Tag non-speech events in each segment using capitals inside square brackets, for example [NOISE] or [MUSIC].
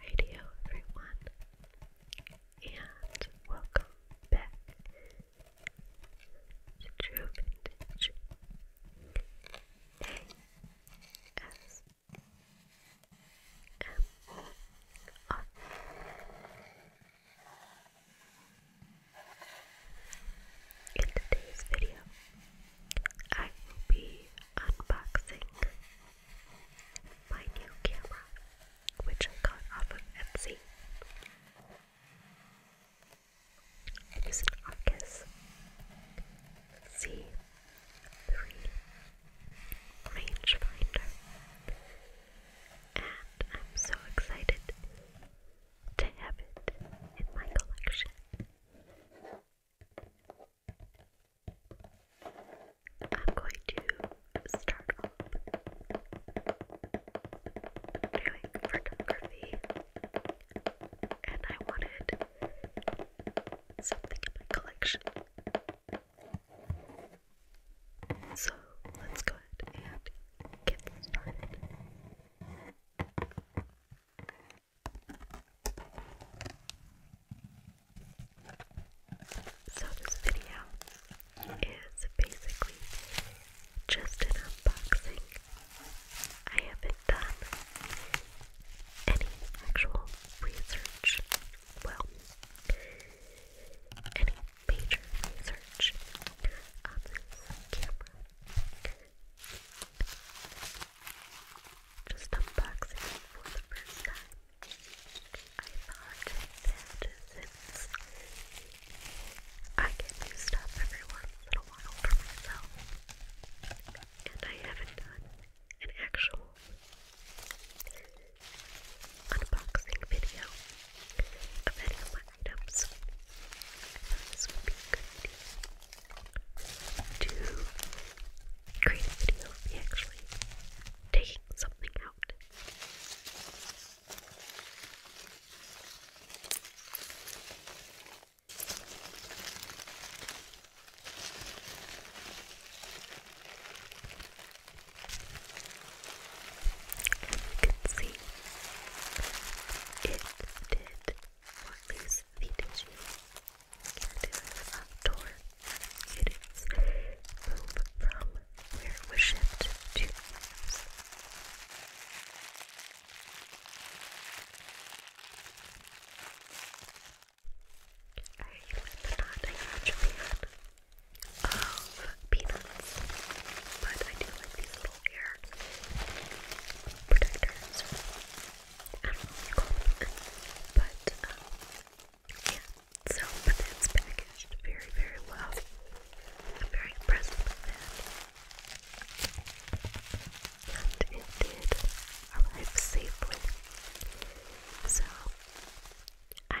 Radio everyone, and welcome back to Vintage ASMR. In today's video, I will be unboxing my new camera, which I got off of Etsy. It is an Arcus C3 rangefinder, and I'm so excited to have it in my collection. I'm going to start doing photography, and I wanted something in my collection. So let's go and get started. So this video is basically just an unboxing. I haven't done any actual research. Well, any major research on camera. Just unboxing for the first time. I thought that since I get new stuff every once in a while for myself, and I haven't done an actual unboxing video of any items. I this would be good to create a video of me actually taking something out. As you can see, it did release the tissue. And it is outdoor. It is moved from where it shipped to use. I like of peanuts, but I do like these little ear protectors. I don't know what you call them, but um, yeah. So, it's packaged very, very well. very impressed and it did arrive safely. So. I'm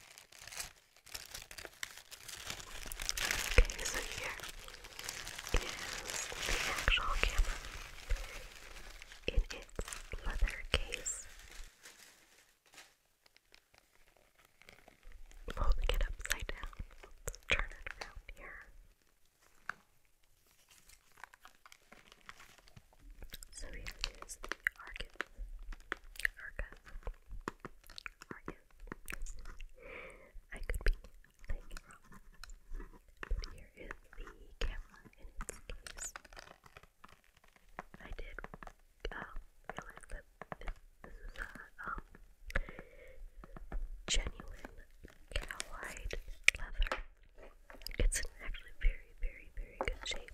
Okay, so here is the actual camera in its leather case. Folding it upside down. Let's turn it around here. So here is the Argus. Argus. Argus. I could be playing it wrong. But here is the camera in its case. I did uh, realize that this, this is a um, genuine cowhide leather. It's in actually very, very, very good shape.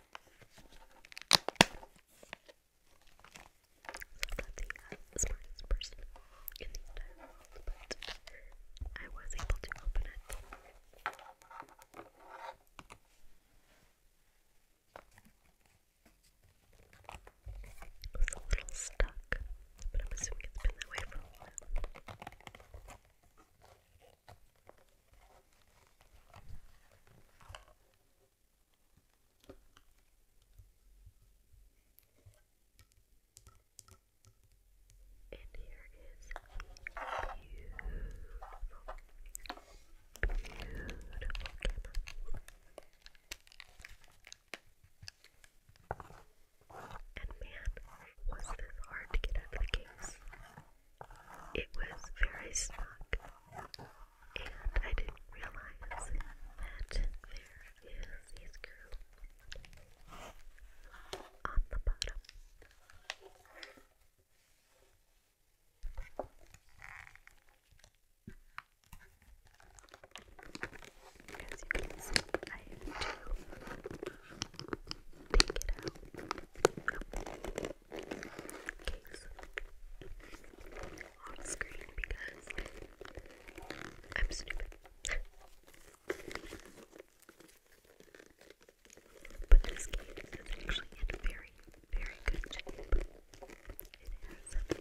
I'm not the smartest person in the entire world, but I was able to open it. It's a little stuck, but I'm assuming it's been that way for a while. And here is beautiful, beautiful And man, was this hard to get out of the case. It was very snug, and I didn't realize that there is a screw on the bottom. As you can see, I have to take it out case on screen because I'm stupid. but this case is actually in very, very good shape. It has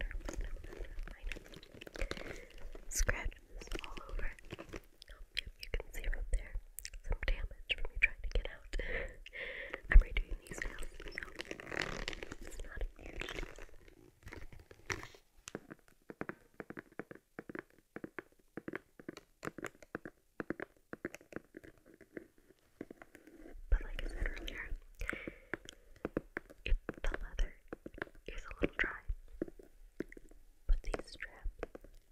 minor, minor, scratches all over um, yep, you can see right there some damage from me trying to get out. [LAUGHS] I'm redoing these now, But like I said earlier, if the leather is a little dry, but these straps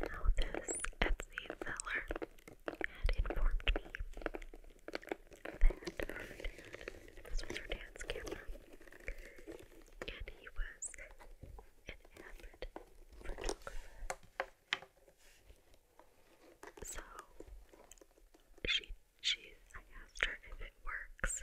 Now this Etsy seller had informed me that oh, this was her dad's camera, and he was an So she she I asked her if it works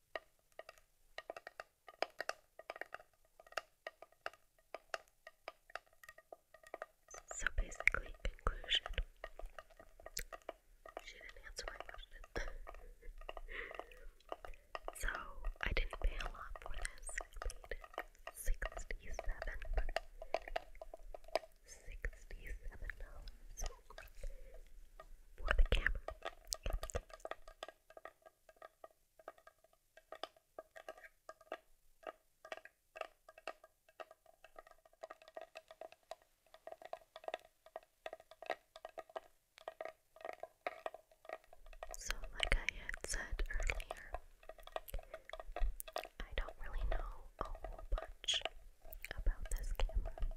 So basically, conclusion. She didn't answer my question. [LAUGHS] so I didn't pay a lot for this. sixty-seven, sixty-seven dollars for the camera. So, like I had said earlier, I don't really know a whole bunch about this camera.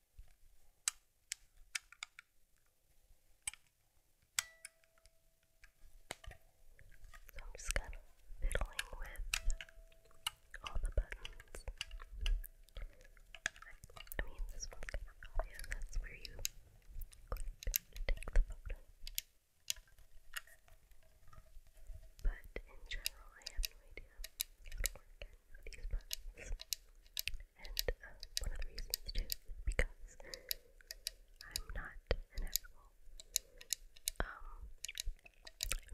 So I'm just kind of fiddling with all the buttons. I mean, this one's kind of obvious. where you click to take the photo. But in general, I have no idea how to work any of these buttons. And uh, one of the reasons too because I'm not an actual um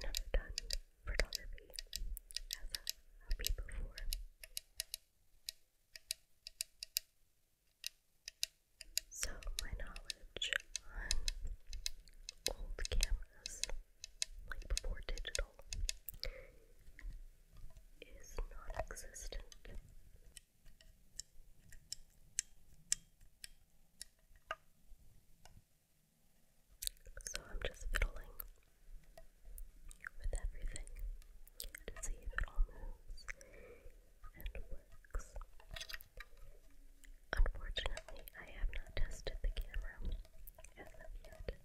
never done photography as a hobby before. So my knowledge on old cameras like before digital, is non existent. So I'm just fiddling with everything to see if it all moves and works. Unfortunately, I have not tested the camera as of yet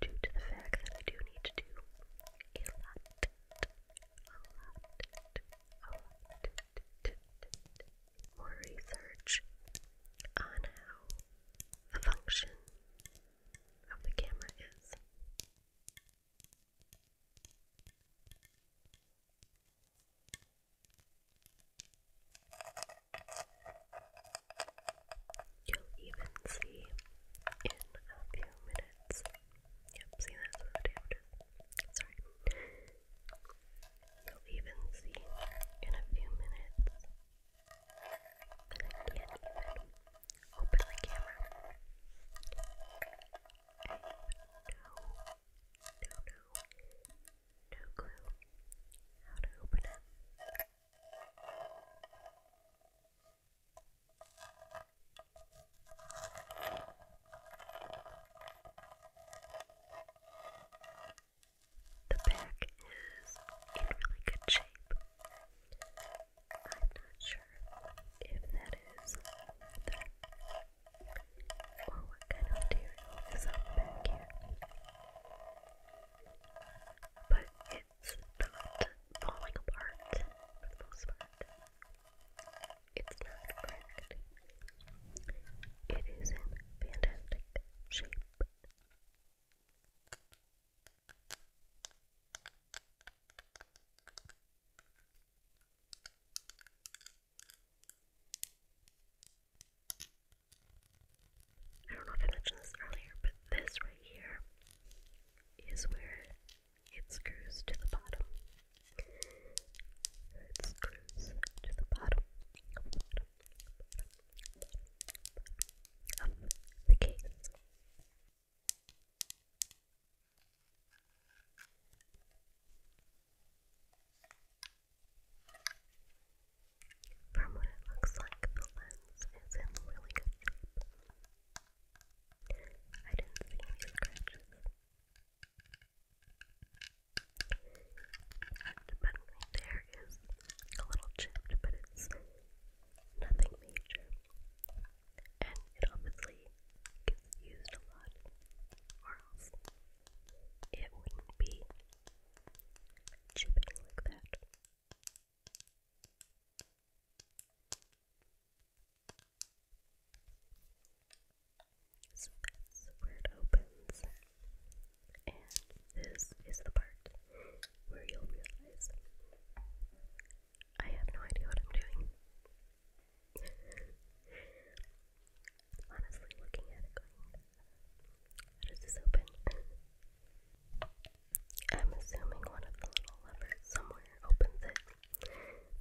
due to the fact that I do need to do a lot, a lot, a lot more research on how the function of the camera is. You'll even see in a few minutes. Yep, see that's what the Sorry. You'll even see in a few minutes I can't even open the camera. I have no no, no clue how to open it. The back is in really good shape. I'm not sure if that is leather or what kind of material is on back here but it's not falling apart for the most part. It's not cracked. It is in fantastic shape. I don't know if I mentioned this earlier, but this right here is where it screws to the bottom. It screws to the bottom, of the case. From what it looks like, the lens is in really good shape. I didn't see any scratches. but there is a little chipped, but it's nothing major. And it obviously gets used a lot, or else it wouldn't be Jupiter like that. So that's where it opens. And this is the part where you'll realize I have no idea what I'm doing. [LAUGHS] honestly looking at it how does this open? [LAUGHS] I'm assuming one of the little levers somewhere opens it,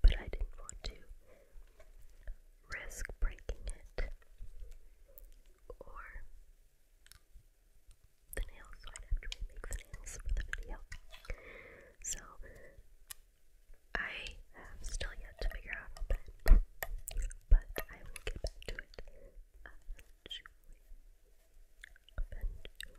but I didn't want to risk breaking it or the nails, so i have to remake the nails for the video. So, I have still yet to figure out how to but I will get back to it eventually, eventually. And I don't know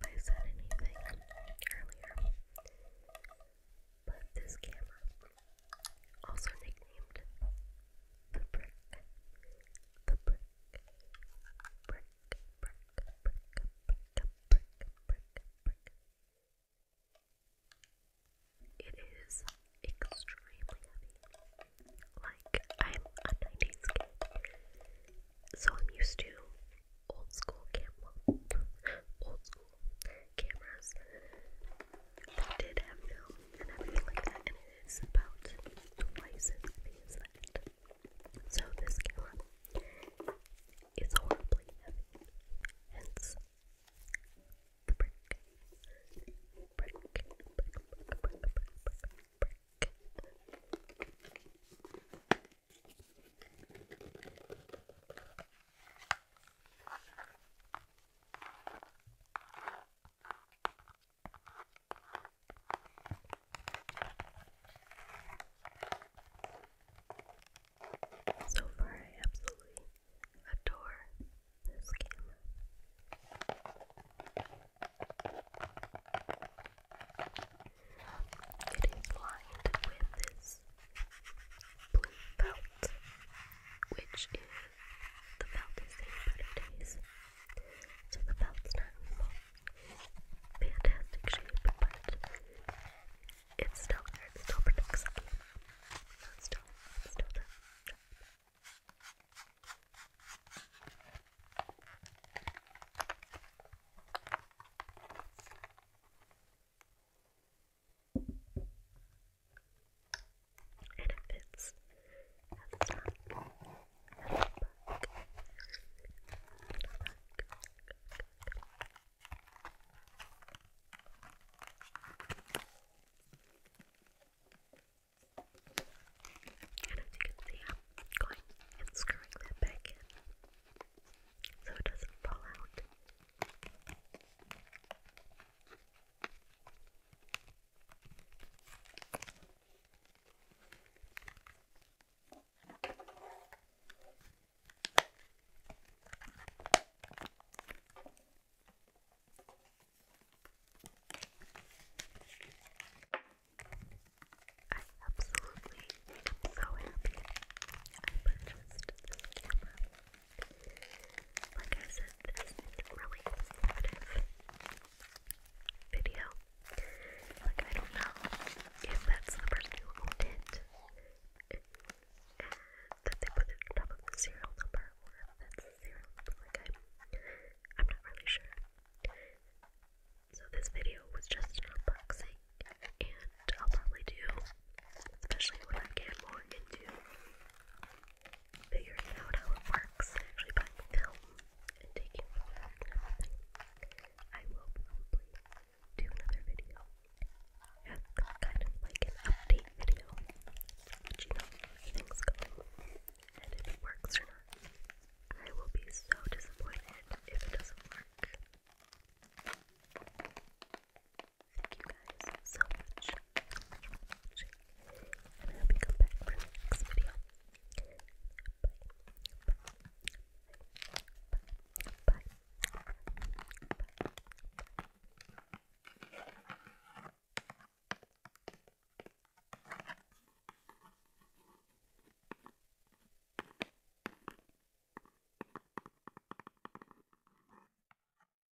if I said anything earlier, but this camera, also nicknamed the brick, It is extremely heavy. Like I'm a 90s kid, so I'm used to old school camera, old school cameras that did have film and everything like that is about twice as heavy as that. So this gallon is horribly heavy, hence the brick. Brick, brick, brick, brick, brick, brick, so far, I absolutely adore this camera. It is lined with this blue belt, which is the belt is the better days. So the belt's not in fantastic shape, but it still it still protects me. No, it's still it's still done and it fits And as you can see, I'm going and screwing that back in so it doesn't fall out. I absolutely am so happy I purchased like I said, this is really informative video. Like, I don't know if that's the person who owned that they put it on top of the serial number or if that's the Like, I'm, I'm not really sure. So, this video was just an unboxing, and I'll probably do, especially when I get more into figuring out how it works actually buying film and taking photos I will probably do another video. kind of like an update video. Let you know how things go and if it works or not. I will be so disappointed if it doesn't work. Thank you guys so much And I hope you come back for the next video. Bye. Bye. Bye. Bye.